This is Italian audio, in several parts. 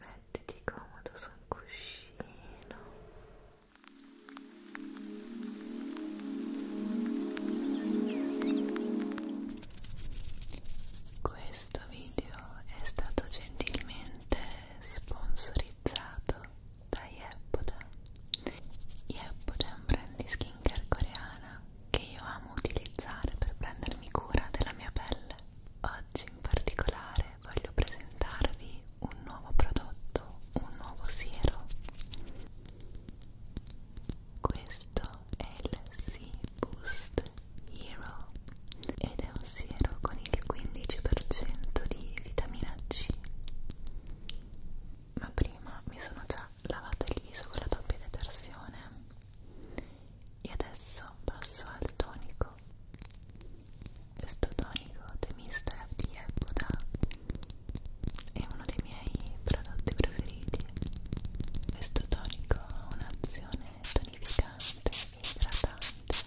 Mettiti comodo sul cuscino. Questo video è stato gentilmente sponsorizzato da Yeboda. Yeboda è un brand di skincare coreana che io amo utilizzare per prendermi cura della mia pelle. Oggi in particolare voglio presentarvi un nuovo prodotto, un nuovo siero. Questo è il Sea Boost Hero ed è un siero con il 15% di vitamina C. Ma prima mi sono già lavata il viso con la doppia detersione e adesso passo al tonico. Questo tonico The Mister di Epoda è uno dei miei prodotti preferiti. Questo tonico ha un'azione tonificante idratante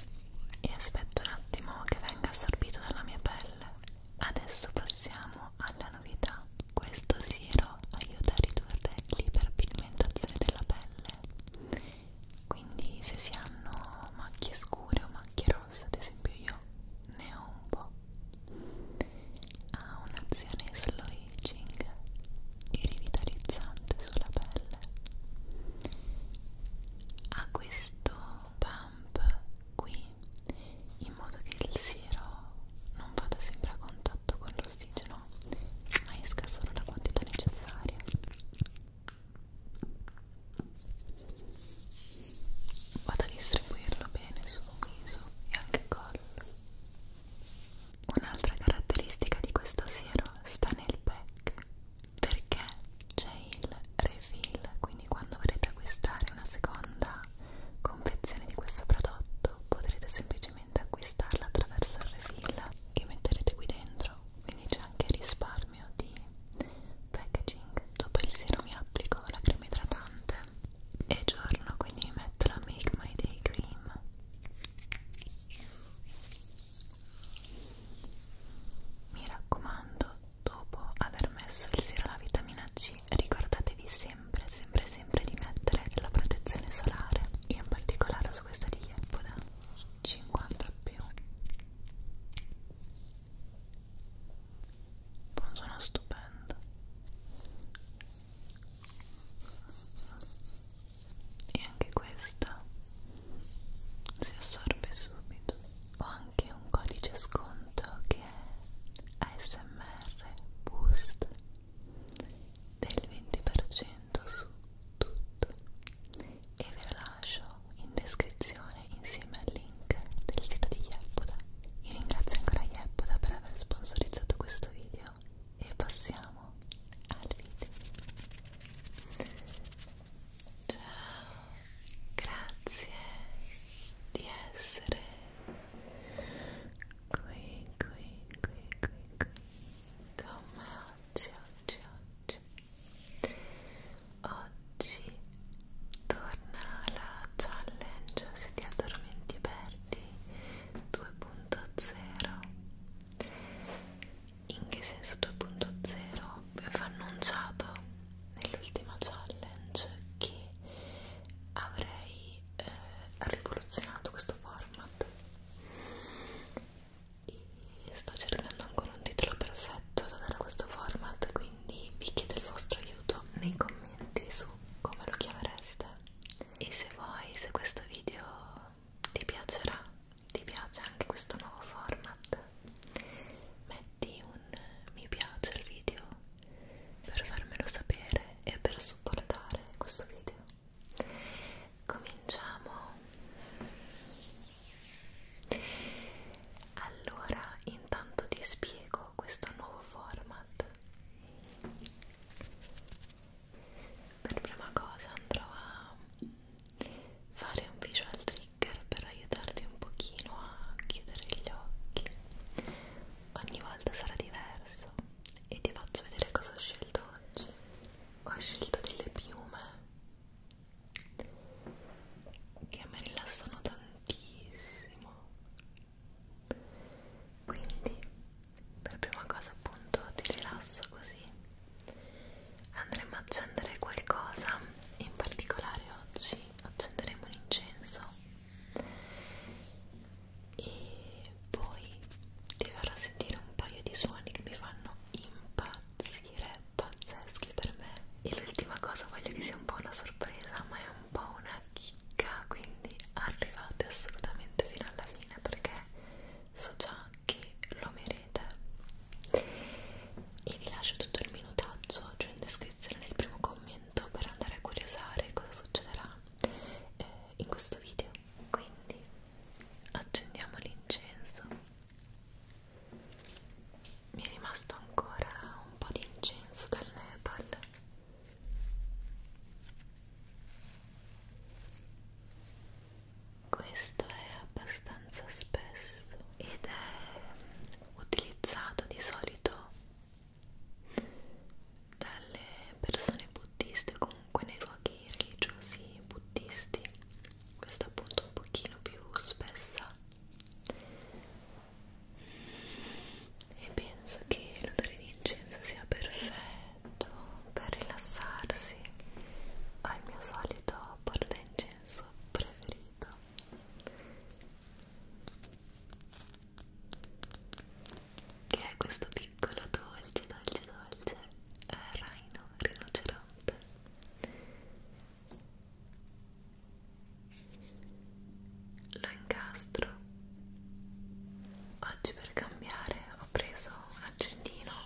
e aspetto un attimo che venga assorbito dalla mia pelle adesso passiamo alla novità questo siero aiuta a ridurre l'iperpigmentazione della pelle quindi se si hanno macchie scure o macchie rosse ad esempio io ne ho un po' ha un'azione slow aging e rivitalizzante sulla pelle a questo pump qui in modo che il siero non vada sempre a contatto con l'ossigeno ma esca solo la quantità necessaria vado a distribuirlo bene sul viso e anche collo un'altra caratteristica di questo siero sta nel pack perché c'è il refill quindi quando vorrete acquistare una seconda confezione di questo prodotto potrete semplicemente acquistarla attraverso il refill che metterete qui dentro quindi c'è anche risparmio di packaging dopo il sero mi applico la crema idratante e giorno quindi mi metto la Make My Day Cream mi raccomando, dopo aver messo il siro alla vitamina C, ricordatevi sempre, sempre, sempre di mettere la protezione solare, in particolare su questa di Yepoda 50 più. Un suono stupendo e anche questa si assorbe subito ho anche un codice sconto che è ASMR Boost del 20% su tutto e ve lo lascio in descrizione insieme al link del sito di Yelpoda io ringrazio ancora Yelpoda per aver sponsorizzato questo video e passiamo vediamo al video ciao grazie di essere qui qui qui qui qui con me oggi oggi oggi oggi torna la challenge se ti addormenti aperti 2.0 in che senso 2.0 aveva annunciato nell'ultima challenge che avrei eh, rivoluzionato questo format e sto cercando ancora un titolo perfetto da dare a questo format quindi vi chiedo il vostro aiuto nei commenti su come lo chiamereste e se voi se questo video ti piacerà, ti piace anche questo nuovo format, metti un mi piace al video per farmelo sapere e per supportare questo video. Cominciamo. Allora, intanto ti spiego questo nuovo format per prima cosa andrò a fare un visual trigger per aiutarti un pochino a chiudere gli occhi ogni volta sarà diverso e ti faccio vedere cosa ho scelto oggi ho scelto delle piume che mi rilassano tantissimo quindi per prima cosa appunto ti rilasso così andremo ad accendere qualcosa in particolare oggi accenderemo un incenso e poi ti farò sentire un paio di suoni che mi fanno impazzire pazzeschi per me e l'ultima cosa voglio che sia un po' una sorpresa ma è un po' una chicca quindi arrivate assolutamente fino alla fine perché so già che lo merite e vi lascio tutto il minutaggio giù in descrizione nel primo commento per andare a curiosare cosa succederà eh, in questo video quindi accendiamo l'incenso mi è rimasto ancora un po' di incenso dal Nepal questo è abbastanza spesso ed è utilizzato di solito dalle persone buddiste comunque nei luoghi religiosi buddisti questa appunto un pochino più spessa e penso che l'odore di incenso sia perfetto letto per rilassarsi ho il mio solito portaincenso preferito che è questo piccolo dolce dolce dolce eh, Rhino rinoceronte lo incastro oggi per cambiare ho preso un accendino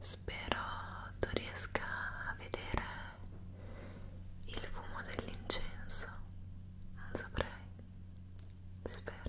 Spero tu riesca a vedere il fumo dell'incenso, non saprei, spero.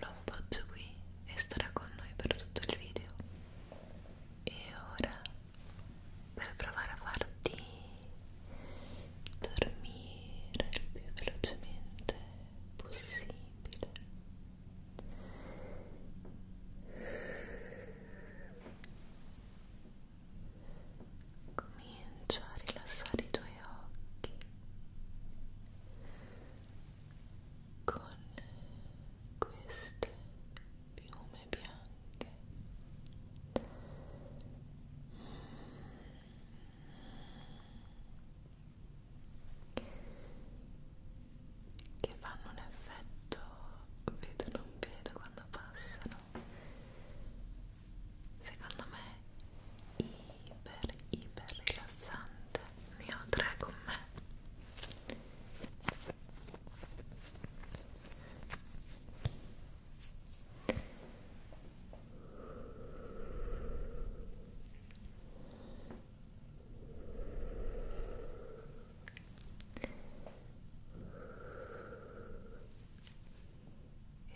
lo appoggio qui e starà con noi per tutto il video e ora per provare a farti dormire il più velocemente possibile comincia a rilassare i tuoi occhi con queste piume bianche che fanno un effetto vedo non vedo quando passano secondo me i iper iper rilassante ne ho tre con me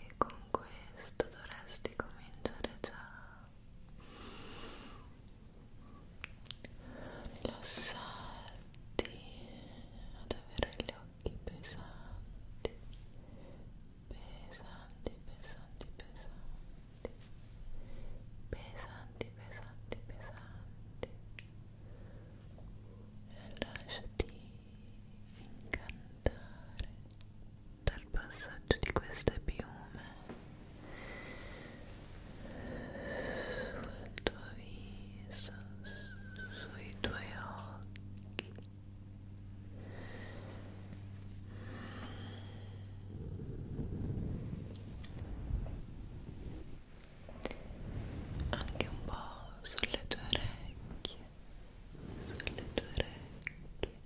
e con questo dovresti cominciare già rilassarti ad avere gli occhi pesanti pesanti pesanti pesanti pesanti pesanti pesanti e lasciati incantare dal passaggio di queste piume sul tuo viso, sui tuoi occhi anche un po' sulle tue orecchie sulle tue orecchie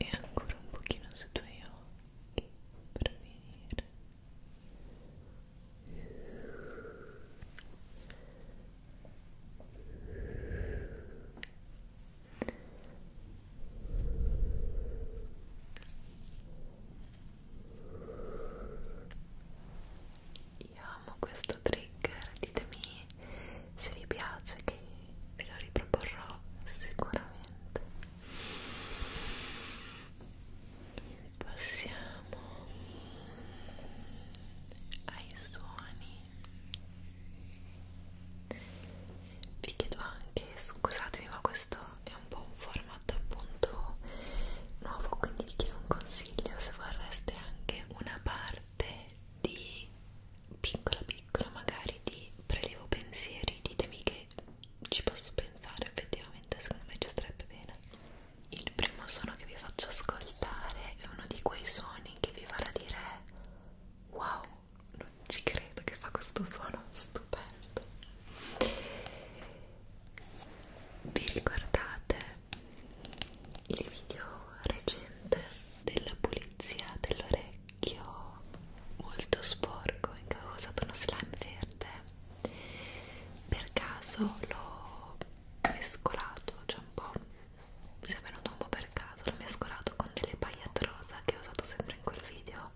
e ancora un pochino sui tuoi occhi per venire io amo questo trigger ditemi se vi piace che ve lo riproporrò sicuramente passiamo ai suoni vi chiedo anche scusatemi ma questo è un po' un format appunto nuovo quindi vi chiedo un consiglio se vorreste anche una parte di piccola piccola magari di prelevo pensieri ditemi che ci posso pensare effettivamente secondo me ci starebbe bene il primo suono che vi faccio ascoltare è uno di quei suoni che vi farà dire wow non ci credo che fa questo suono stupendo vi ricordate il video recente della pulizia dell'orecchio molto sporco in cui avevo usato uno slime verde per caso l'ho mescolato cioè un po' mi è venuto un po' per caso l'ho mescolato con delle pagliette rosa che ho usato sempre in quel video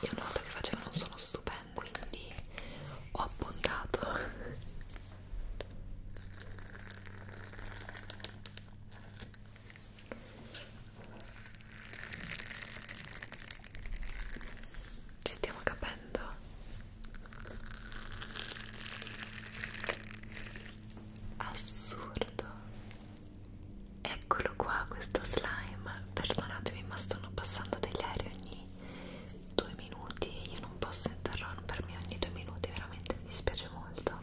io noto che facevano un suono stupendo quindi ho appuntato ci stiamo capendo? Assurdo! Eccolo qua questo slime. Perdonatemi, ma stanno passando degli aerei ogni due minuti. Io non posso interrompermi ogni due minuti, veramente mi dispiace molto.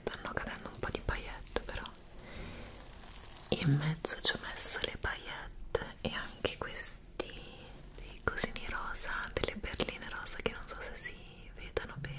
Stanno cadendo un po' di paillette però in mezzo ci ho messo le paillette e anche questi dei cosini rosa, delle berline rosa che non so se si mi vedano bene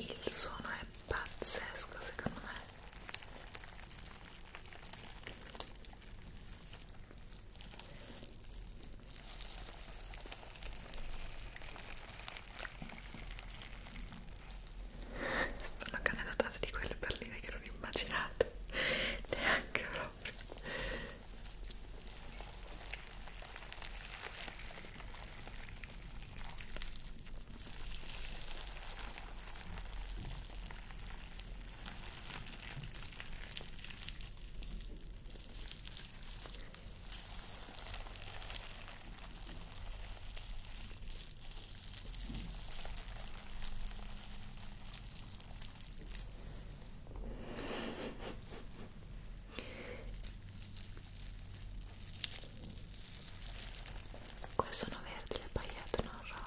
Il suono è pazzesco secondo me. Sono canalizzata di quelle perline che non immaginate neanche proprio. Qua sono verdi le pagliette, non rosa.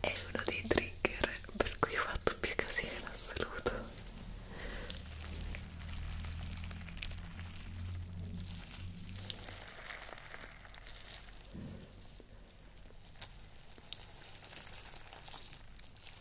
è uno dei trigger per cui ho fatto più casino in assoluto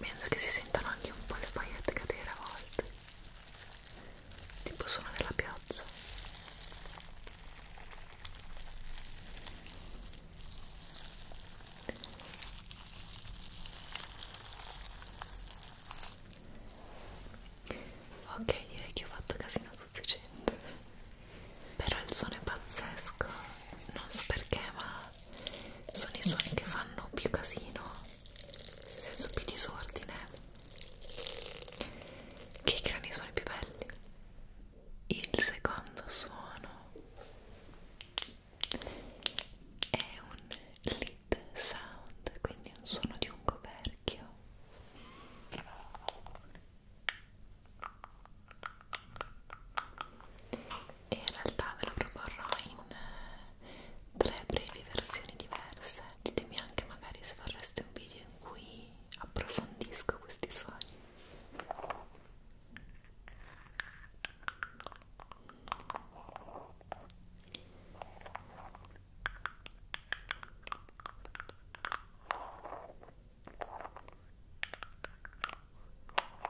penso che si sentano anche un po' le paillette cadere a volte tipo suono della piazza ok direi che ho fatto casino sufficiente però il suono è pazzesco non so perché ma sono i suoni che fanno più casino nel senso più disordine che creano i suoni più belli il secondo suono è un lead sound quindi un suono di un coperchio e in realtà ve lo proporrò in eh, tre brevi versioni diverse ditemi anche magari se vorreste un video in cui approfondisco questi suoni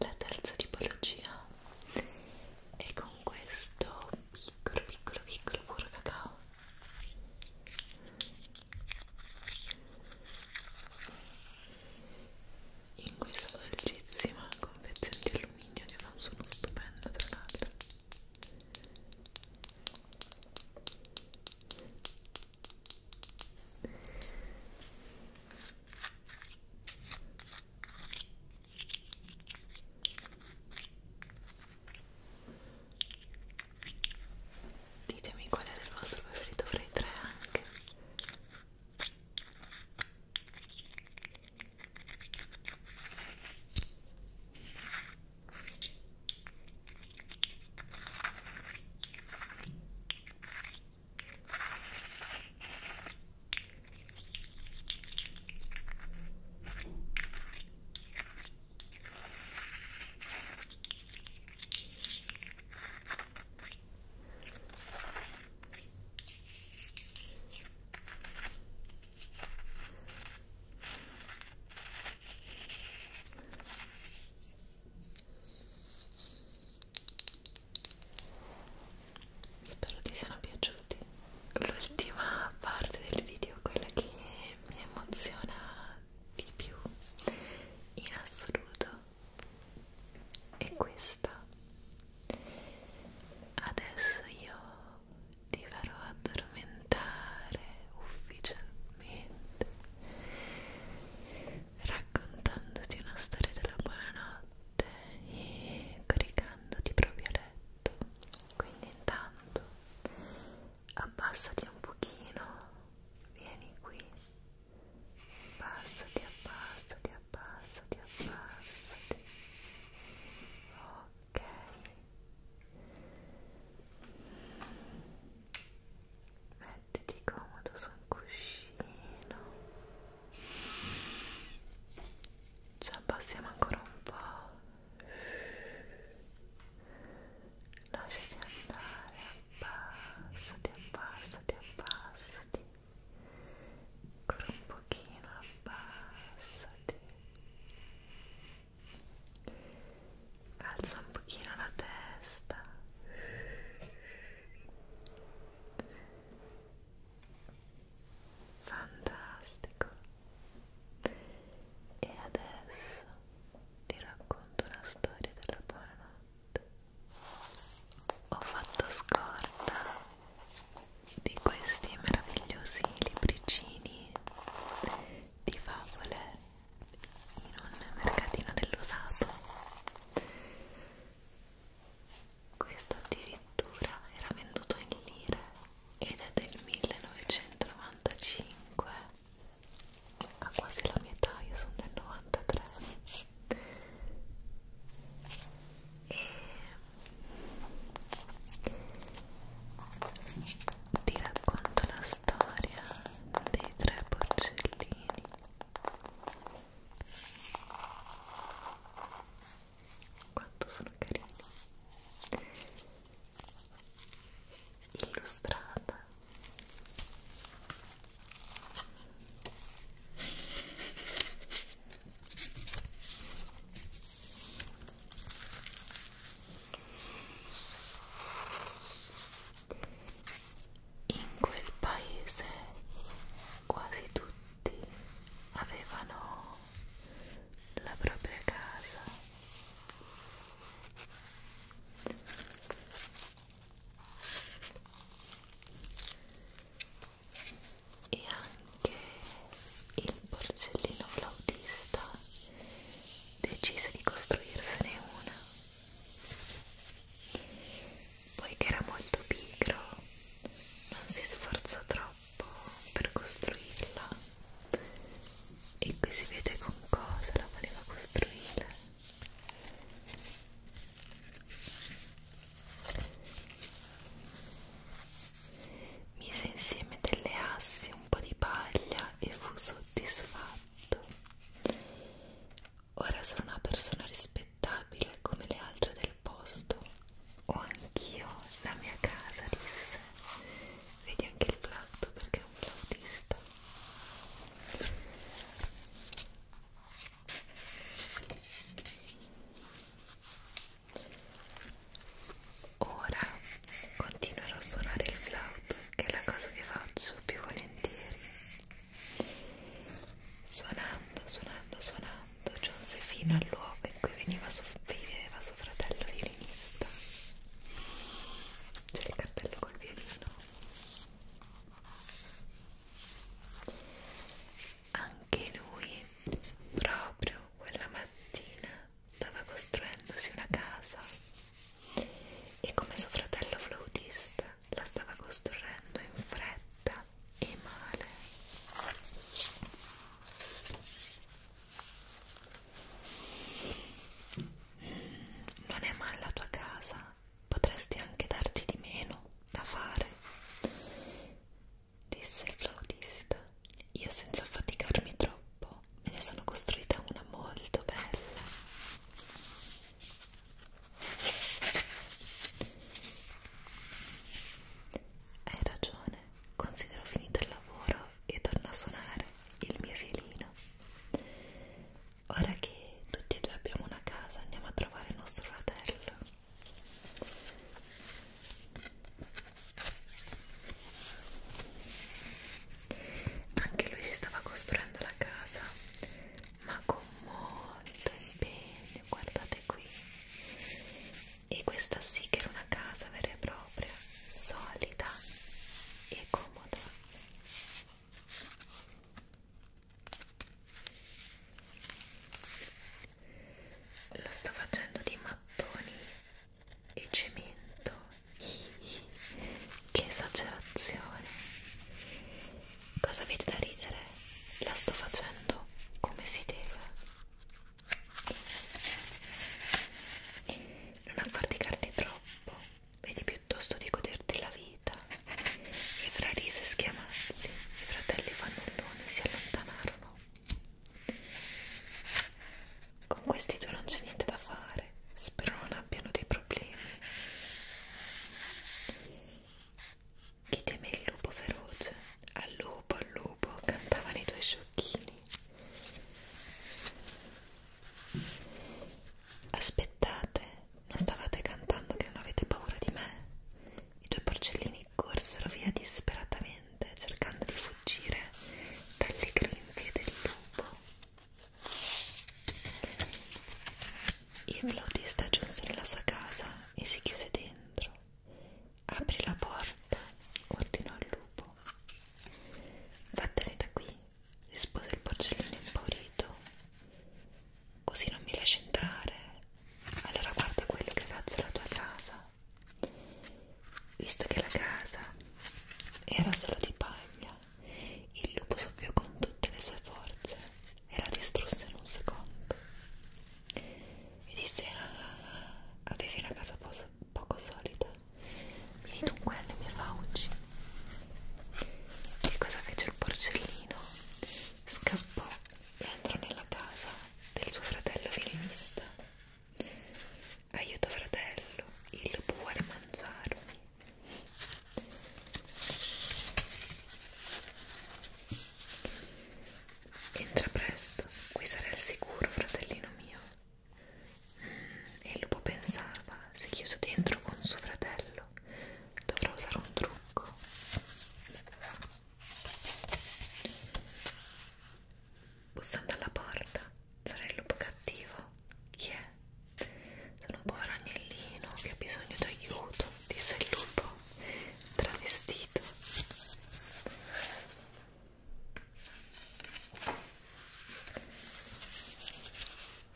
La terza tipologia è con questo piccolo piccolo piccolo puro cacao in questa dolcissima confezione di alluminio che fa un suono stupendo tra l'altro ditemi qual era il vostro preferito fra i tre anche Spero ti siano piaciuti. L'ultima parte del video, quella che mi emoziona di più in assoluto e questa adesso io ti farò addormentare ufficialmente raccontandoti una storia della buonanotte e caricandoti proprio a letto quindi intanto abbassati un pochino vieni qui abbassati, abbassati, abbassati, abbassati ok mettiti comodo su un cuscino ci abbassiamo ancora un po' lasciati andare abbassati, abbassati, abbassati ancora un pochino, abbassati alza un pochino la testa fantastico e adesso ti racconto una storia della buonanotte ho fatto scorta di questi meravigliosi libricini di favole in un mercatino dell'usato questo addirittura era venduto in lire ed è del 1995 ha quasi la mia età, io sono del 93 e ti racconto la storia dei tre porcellini quanto sono carini illustrata in quel paese quasi tutti avevano la propria casa e anche il porcellino flautista decise di costruirsene una poiché era molto pigro non si sforzò troppo per costruirla e qui si vede con cosa la voleva costruire Mise insieme delle assi, un po' di paglia e fu soddisfatto. Ora sono una persona rispettabile come le altre del posto. Ho anch'io la mia casa, disse. Vedi anche il flauto perché è un flautista. Ora continuerò a suonare il flauto, che è la cosa che faccio più volentieri. Suonando, suonando, suonando, giunse fino al luogo in cui veniva viveva suo fratello violinista. C'è il cartello col violino anche lui, proprio quella mattina, stava costruendosi una casa e come suo fratello flautista la stava costruendo in fretta e male. Non è male la tua casa? potresti anche darti di meno da fare, disse il flautista. Io senza affaticarmi troppo me ne sono costruita una molto bella. Hai ragione, considero finito il lavoro e torno a suonare il mio violino. Ora che tutti e due abbiamo una casa, andiamo a trovare il nostro fratello. Anche lui si stava costruendo la casa, ma con molto impegno, guardate qui. E questa sì che era una casa vera e propria, solida e comoda la sta facendo di mattoni e cemento che esagerazione cosa avete da ridere? la sto facendo come si deve non affarticarti troppo vedi piuttosto di goderti la vita. E fra risa e schiamazzi, i fratelli fannulloni si allontanarono. Con questi due non c'è niente da fare, spero non abbiano dei problemi. Chi teme il lupo feroce? Al lupo, al lupo, cantavano i tuoi sciocchini. Aspettate, non stavate cantando che non avete paura di me? I due porcellini corsero via disperatamente, cercando di fuggire dalle grinfie del lupo. Il flautista giunse nella sua casa e si chiuse dentro. Apri la porta, ordinò il lupo. Vattene da qui, rispose il porcellino impaurito. Così non mi lasci entrare. Allora guarda quello che faccio alla tua casa. Visto che la casa era solo di paglia, il lupo soffiò con tutte le sue forze e la distrusse in un secondo. E disse: ah, Avevi una casa poco solida, Vieni dunque nelle mie fauci. Che cosa fece il porcellino? Scappò e entrò nella casa del suo fratello violinista. Aiuto fratello, il vuole mangiarmi. Entra presto, qui sarai al sicuro, fratellino mio e il lupo pensava se chiuso dentro con suo fratello dovrà usare un trucco bussando alla porta sarà il lupo cattivo chi è? sono un povero agnellino che ha bisogno d'aiuto disse il lupo travestito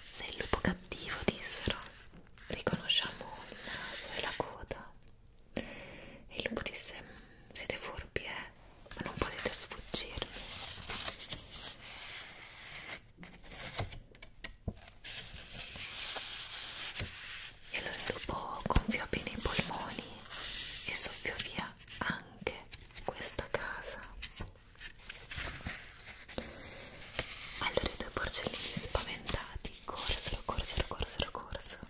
sei il lupo cattivo, dissero. Riconosciamo il naso e la coda. E il lupo disse: Siete furbi, eh? Ma non potete sfuggirmi. E allora il lupo gonfiò bene i polmoni e soffiò via anche questa casa. Allora i due porcellini spaventati corsero, corsero, corsero, corsero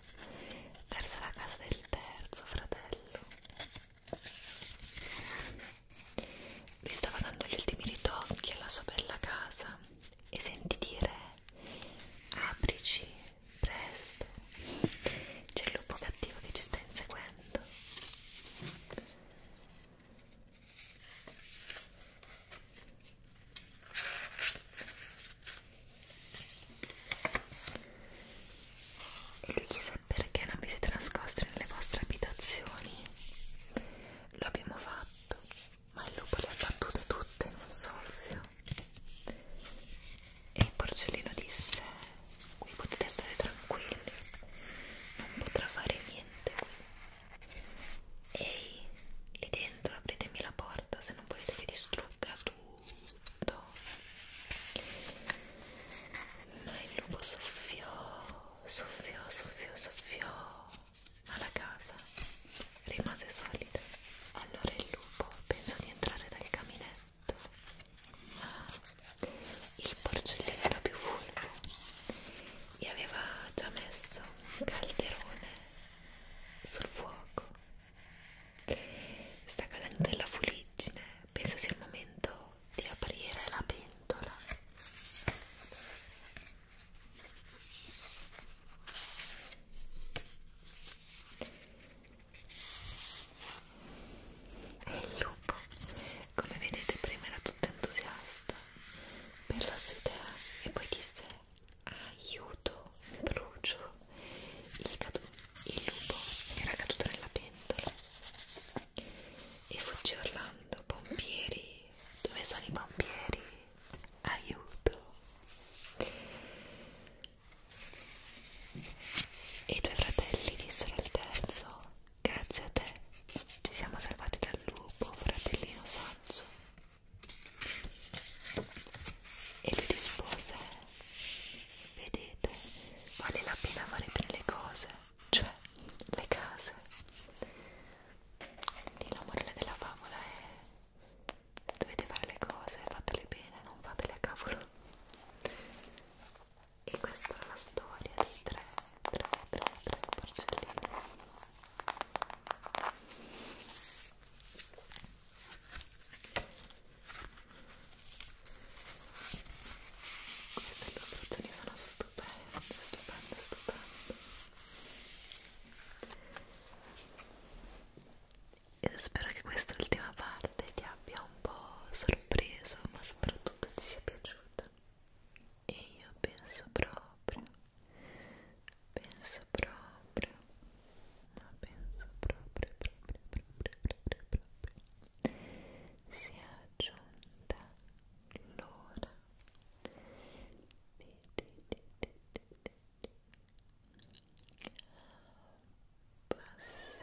verso la casa del terzo fratello. Lui stava dando gli ultimi ritocchi alla sua bella casa e sentì dire aprici presto, c'è il lupo cattivo che ci sta inseguendo e lui chiese perché non vi siete nascosti nelle vostre abitazioni lo abbiamo fatto ma il lupo le ha battute tutte in un soffio e il porcellino disse qui potete stare tranquilli non potrà fare niente qui ehi lì dentro apritemi la porta se non volete che distrugga tutto ma il lupo soffiò soffiò soffiò soffiò ma la casa rimase solida allora il lupo pensò di entrare dal caminetto il porcellino era più fulvo e aveva già messo un calderone sul fuoco sta cadendo della fuliggine penso sia il momento di aprire la pentola e il lupo come vedete prima era tutto entusiasta per la sua idea e poi disse aiuto brucio il, il lupo era caduto nella pentola e fuggì Orlando pompieri dove sono i pompieri aiuto e i due fratelli dissero al terzo Grazie a te ci siamo salvati dal lupo, fratellino saggio. E lui rispose, vedete, vale la pena amare tre le cose, cioè le case. Quindi la morale della favola è dovete fare le cose, fatele bene, non fatele a cavolo e questa è la storia di tre, tre, tre, tre porcelline queste illustrazioni sono stupende, stupende, stupende io spero che quest'ultima parte ti abbia un po' sorpreso ma soprattutto ti sia piaciuta piaciuta e io penso proprio penso proprio ma penso proprio proprio proprio proprio, proprio. si è giunta l'ora passare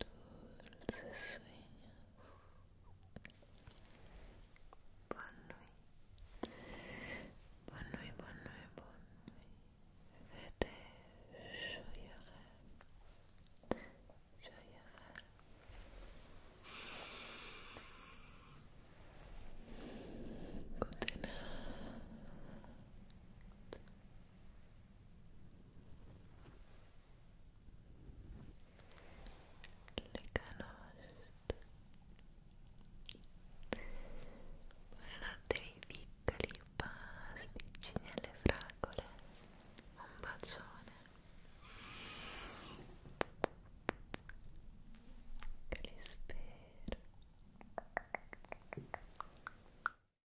dulces sueños Bonne nuit Bonne nuit, bonne nuit, bonne nuit Vete joyeux rêve le canoste buonanotte miei piccoli pasticcini alle fragole un bacione che li spero